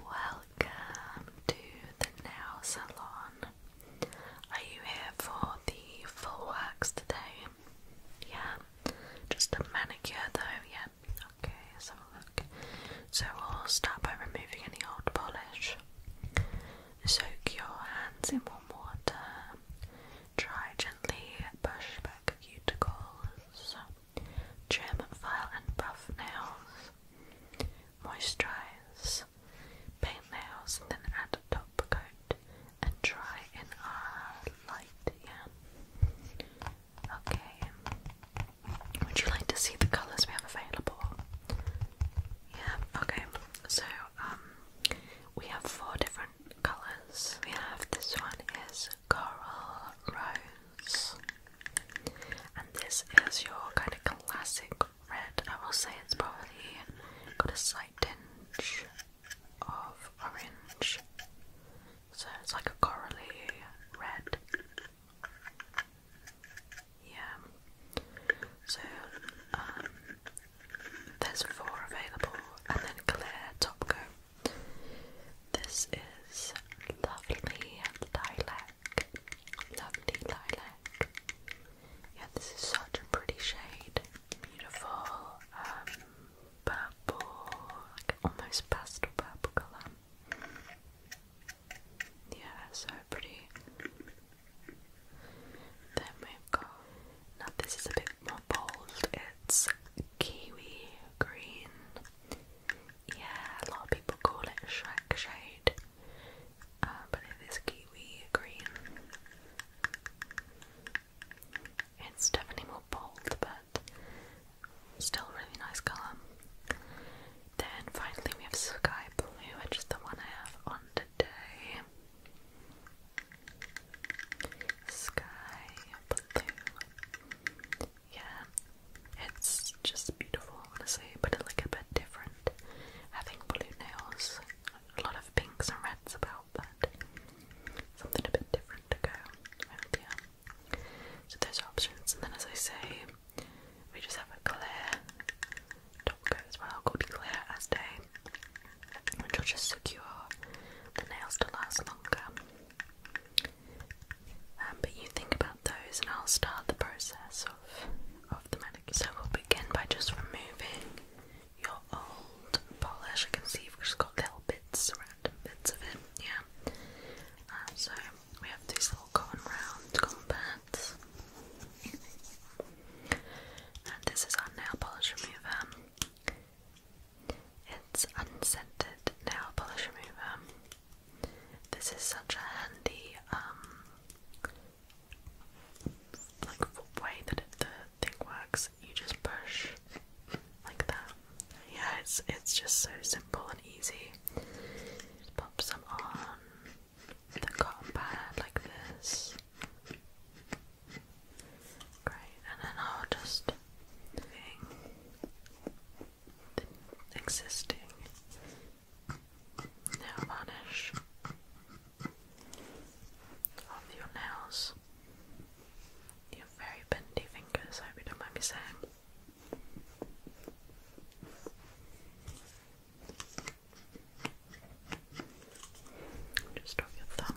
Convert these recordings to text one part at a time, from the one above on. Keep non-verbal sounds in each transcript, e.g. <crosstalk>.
Welcome to the Nail Salon. Are you here for the full works today? Yeah. Just a manicure though, yeah. Okay, have a look. So we'll start by removing any old polish. Soak your hands in warm water. Try gently push back cuticles trim, file and buff nails, moisturize, paint nails, then add top coat and dry in a light, yeah. Okay. Would you like to see the colours we have available? Yeah, okay. So, um, we have four different colours. We have this one is Coral Rose. And this is your kind of classic red. I will say it's probably got a slight tinge of orange. So it's like a corally red. Yeah. So um, there's four available and then clear top coat. This is lovely lilac. Lovely lilac. Yeah, this is such a pretty shade. Beautiful um, purple, almost pastel purple colour. Yeah, so pretty. Then we've now this is a bit more bold. It's kiwi green. Yeah, a lot of people call it Shrek shade, uh, but it is kiwi green. It's definitely more bold, but still really nice colour. Then finally we have Sky Blue, which is the one I have on today. Sky Blue. Yeah, it's just beautiful, honestly, but it's like a bit different. Having blue nails, a lot of pinks and reds about, but something a bit different to go yeah. So those options, and then as I say, we just have a clear top coat as well called Clear As Day, which will just secure the nails to last longer. Um, but you think about those, and I'll start the process of of the medication. So we'll begin by just removing your old polish. I can see we have just got little bits, random bits of it. Yeah. Um, so we have these little cotton round cotton pads, and this is our nail polish remover. It's unscented nail polish remover. This is such a handy um, like way that the thing works. You just push like that. Yeah, it's it's just so simple and easy. pop some on the cotton pad like this. Great, and then I'll just existing now vanish off your nails, your very bendy fingers, I hope you don't mind me saying. Just off your thumb.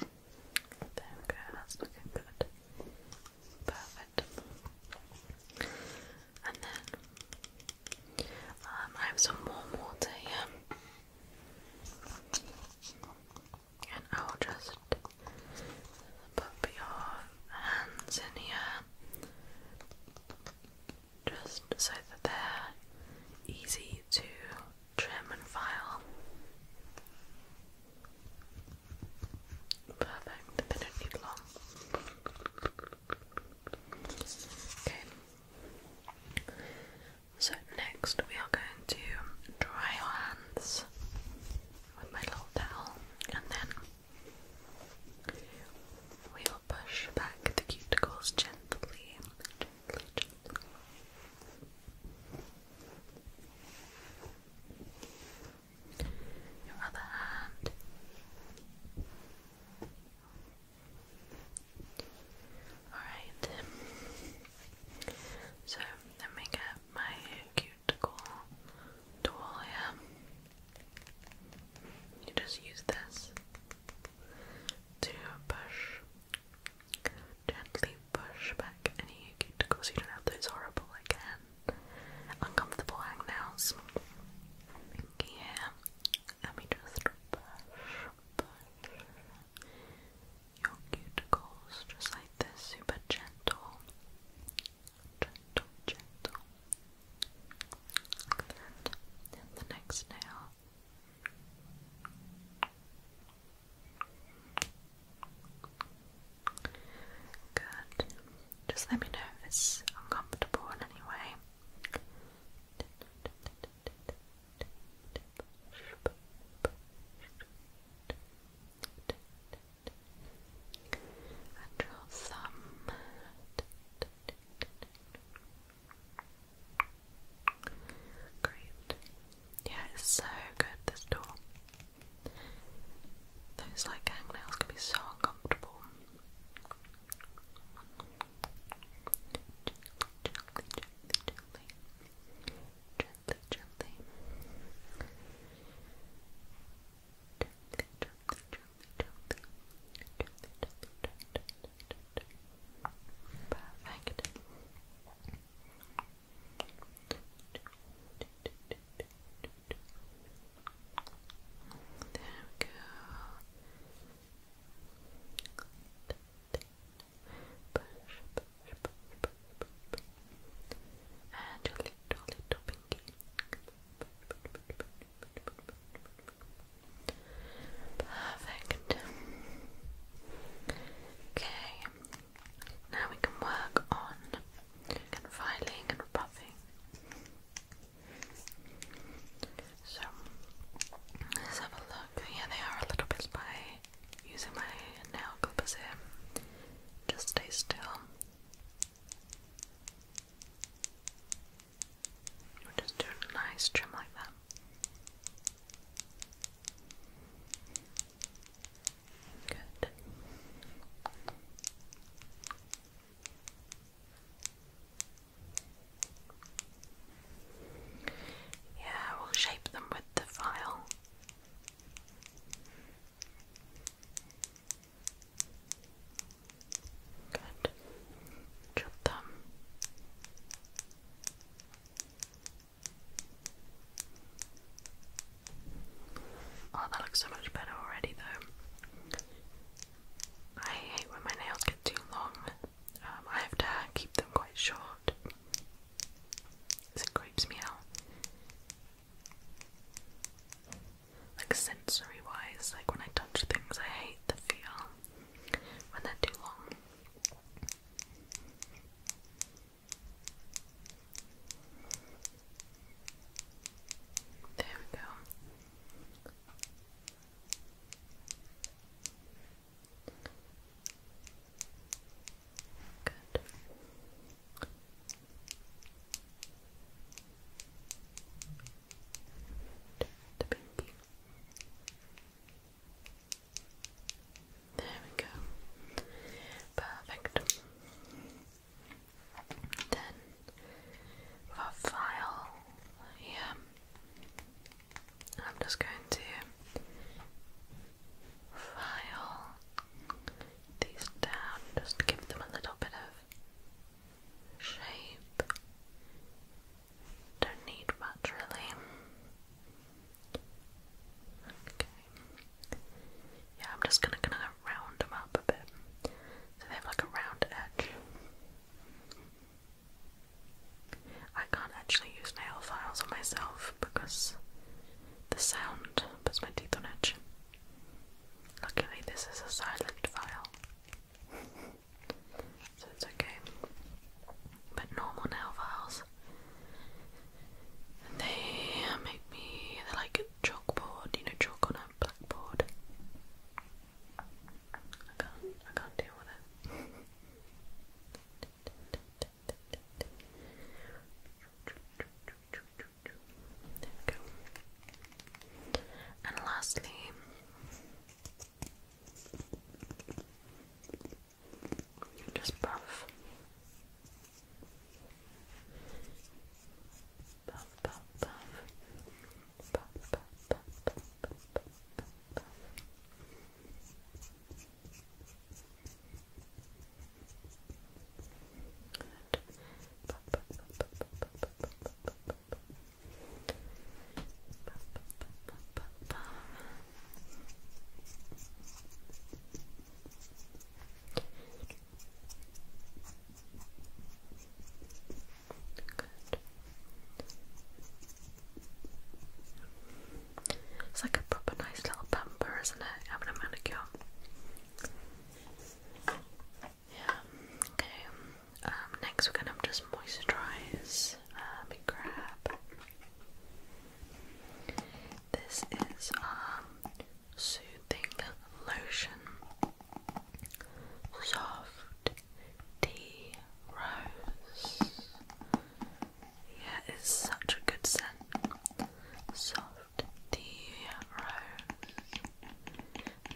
There we go, that's looking good. Perfect. And then um, I have some warm water here. And I'll just put your hands in here just so that they're easy to trim and file. Perfect, they don't need long. Okay. So next we are going to dry our hands with my little towel and then we will push back the cuticles gently, gently, Your other hand. Alright. So let me get my cuticle tool You just use this to push Gently push back any cuticles. You don't have those horrible again, uncomfortable hangnails. Yeah, let me just push, your cuticles just like this, super gentle, gentle, gentle. And the next nail. Good. Just let me know if it's uncomfortable in any way. And your thumb. Great. Yeah, it's so good, this door. Those like hangnails can be so uncomfortable. Perfect. There we go. And your little, little pinky. Perfect. Okay, now we can work on filing and buffing. So let's have a look. Yeah, they are a little bit by using my nail clippers Just stay still. We'll just do a nice trim like that. Good. Yeah, we'll shape them with the file. Good. Chop them. Oh, that looks so much better already, though. I hate when my nails get too long. Um, I have to keep them quite short. Cause it creeps me out. Like sensory wise, like when I touch things, I hate the feel when they're too long. There we go. Good. The pinky. There we go. Perfect. Then for file here, I'm just going to file these down, just give them a little bit of shape don't need much really. Okay. Yeah, I'm just gonna kind of round them up a bit. So they have like a round edge. I can't actually use nail files on myself because the sound puts my teeth on edge. Luckily, this is a silent file. <laughs> so it's okay. But normal nail files, they make me, they're like a chalkboard, you know, chalk on a blackboard. I can't, I can't deal with it. And lastly, just puff. Puff, puff, puff. Puff, puff, puff, puff, puff, puff, puff. Good. Puff, puff, puff, puff, it's like a proper nice little pamper, isn't it? Having a manicure. Yeah, okay. Um, next, we're going to just moisturize uh, me grab. This is um soothing lotion, soft tea rose. Yeah, it's such a good scent. Soft tea rose.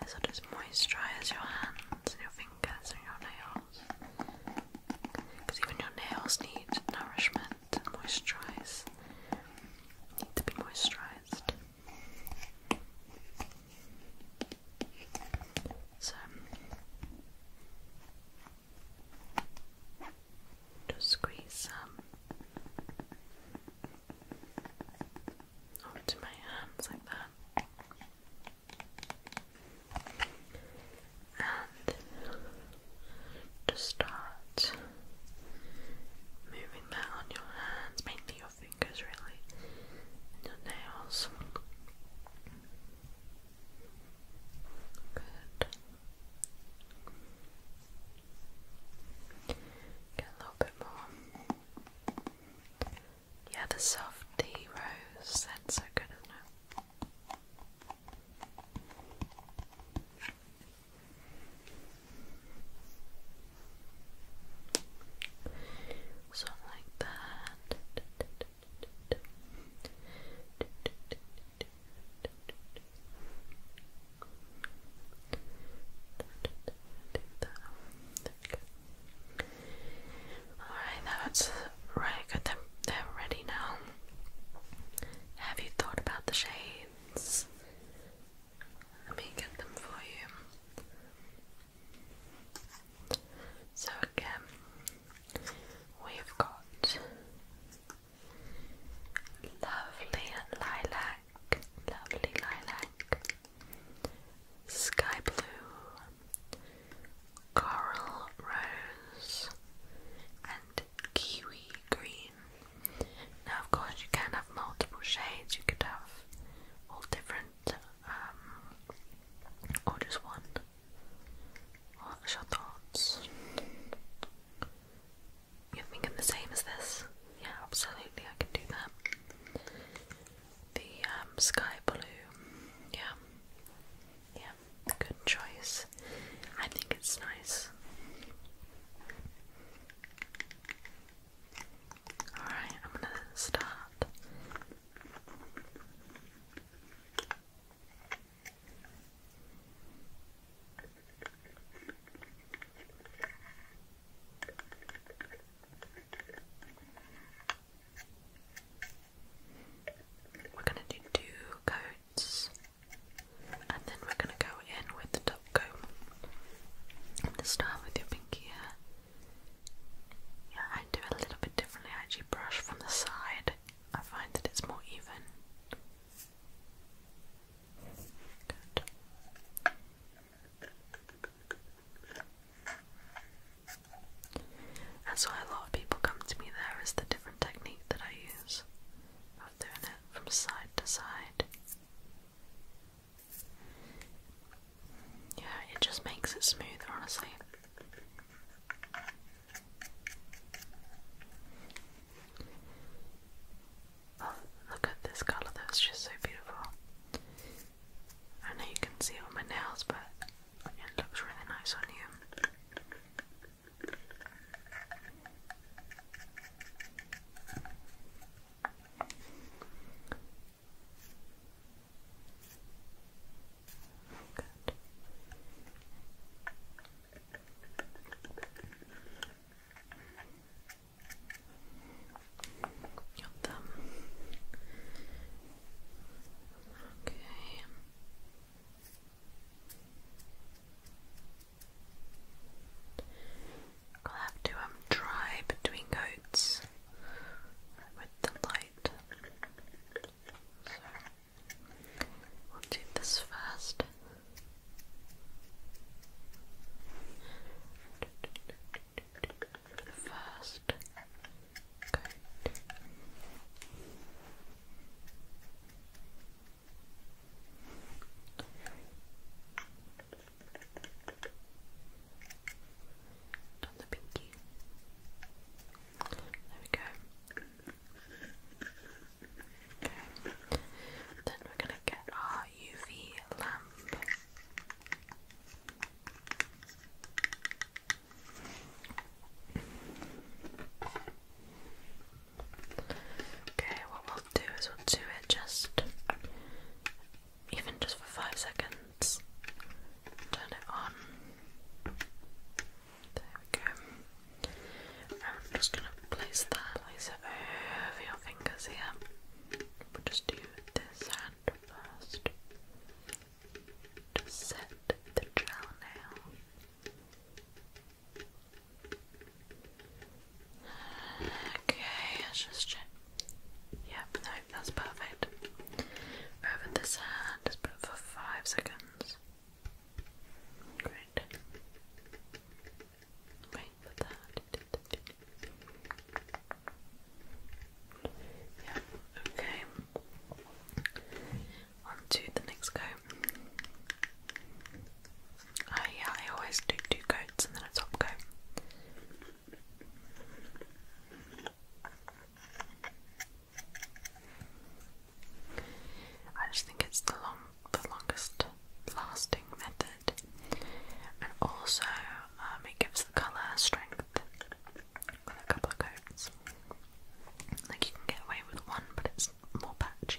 This just moisturize your hands and your fingers and your nails. Because even your nails need nourishment moisturize. Need to be moisturized. So just squeeze some um, onto my hands like that and just start moving that on your hands, mainly your fingers, really, and your nails. Good. Get a little bit more. Yeah, the soft tea rose. That's so good, is like That Alright, that's really good. they ready now. Have you thought about the shades? Let me get them for you. So, again, we've got lovely lilac, lovely lilac, sky blue, coral rose, and kiwi green. Now, of course, you can have multiple shades, you could have all different, um, or just one. What's your thoughts? You're thinking the same as this? Yeah, absolutely, I can do that the um, sky blue. Yeah, yeah, good choice. I think it's nice. Alright, I'm gonna start. We're gonna do two coats and then we're gonna go in with the top coat. I'm gonna start with your pinky here. Yeah, I do a little bit differently. I actually brush from the side. I find that it's more even. That's why a lot of people come to me there is the different technique that I use of doing it from side to side. Yeah, it just makes it smoother, honestly. Oh, look at this colour, that's just so beautiful. I know you can see it on my nails, but it looks really nice on you. Okay. I'll have to um dry between coats with the light. So we'll do this first first coat. On the pinky. There we go. Okay. Then we're gonna get our UV lamp. Okay, what we'll do is we'll do it just even just for five seconds. Turn it on. There we go. I'm just gonna place that over your fingers here. We'll just do this first to set the gel now. Okay, let's just check. Yep, no, that's perfect. Over this hand, just put for five seconds. Great. Wait, yeah, okay. On to the next coat. I, oh, yeah, I always do two coats and then a top coat. I just think it's the long, the longest lasting method it, and also um, it gives the colour strength with a couple of coats. Like you can get away with one, but it's more patchy.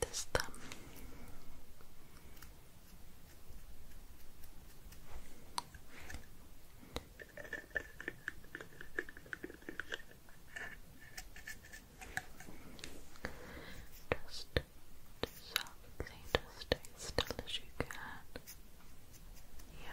this thumb. Just softly, just stay still as you can. Yeah.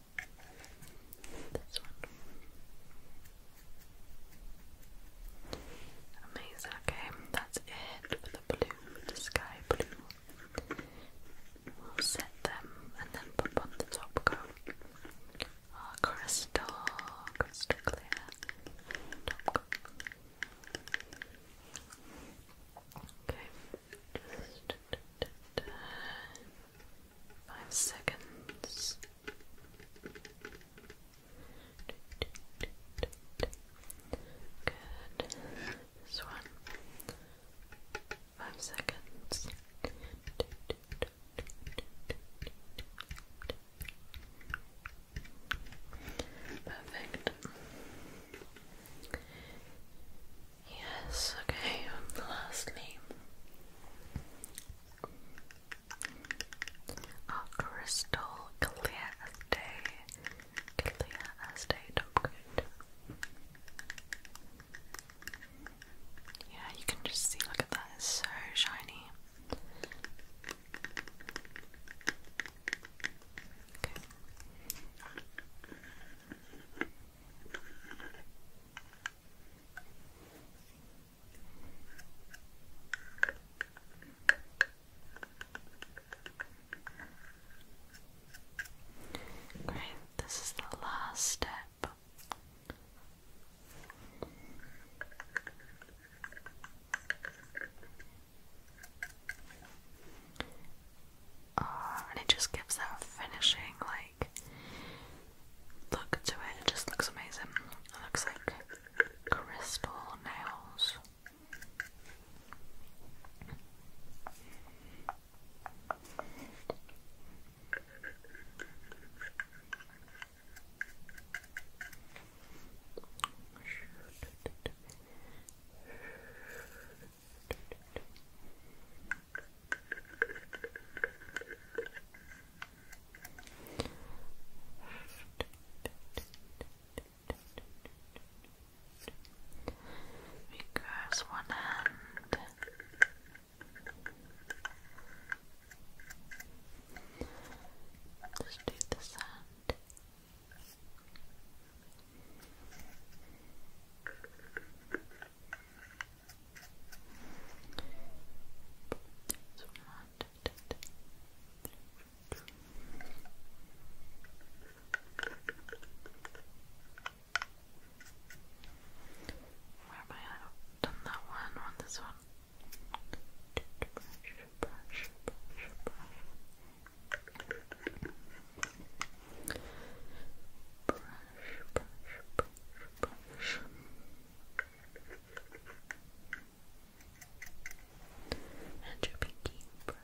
Amazing. Okay, that's it for the blue, the sky blue. We'll set them and then pop on the top coat. Oh, crystal, crystal clear. Top coat. Okay, five seconds. Good. This one. Five seconds. Perfect. Yes, okay, and lastly, our crystal clear day, clear day, top coat. Yeah, you can just see, look at that, so shiny. Great, this is the last step. Uh, and it just gives that finishing like look to it. It just looks amazing. It looks like crystal nails. Because one hand just do the sand. Where am I? done that one on this one brush, brush, brush, brush. And your pinky Great.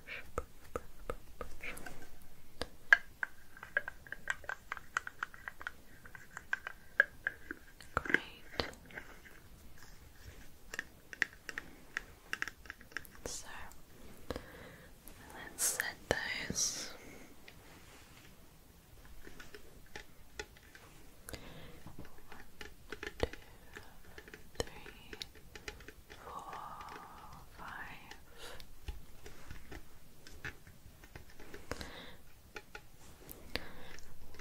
So Let's set those. One, two, three, four, five.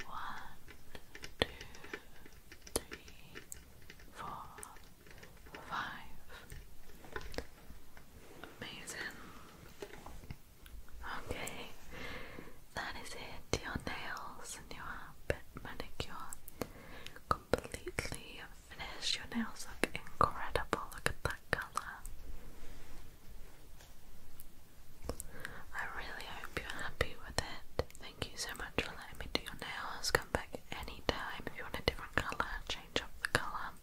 One, two, three, four, five. Amazing. Okay, that is it. Your nails and your manicure completely finished. Your nails look incredible. Look at that color. I really hope you're happy with it. Thank you so much for letting me do your nails. Come back anytime if you want a different colour, change up the colour.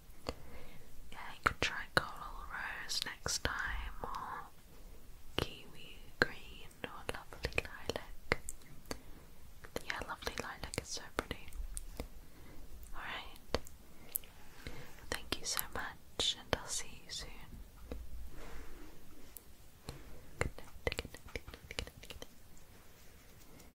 Yeah, you could try coral rose next time, or kiwi green, or lovely lilac. Yeah, lovely lilac is so pretty. Alright. Thank you so much, and I'll see you soon.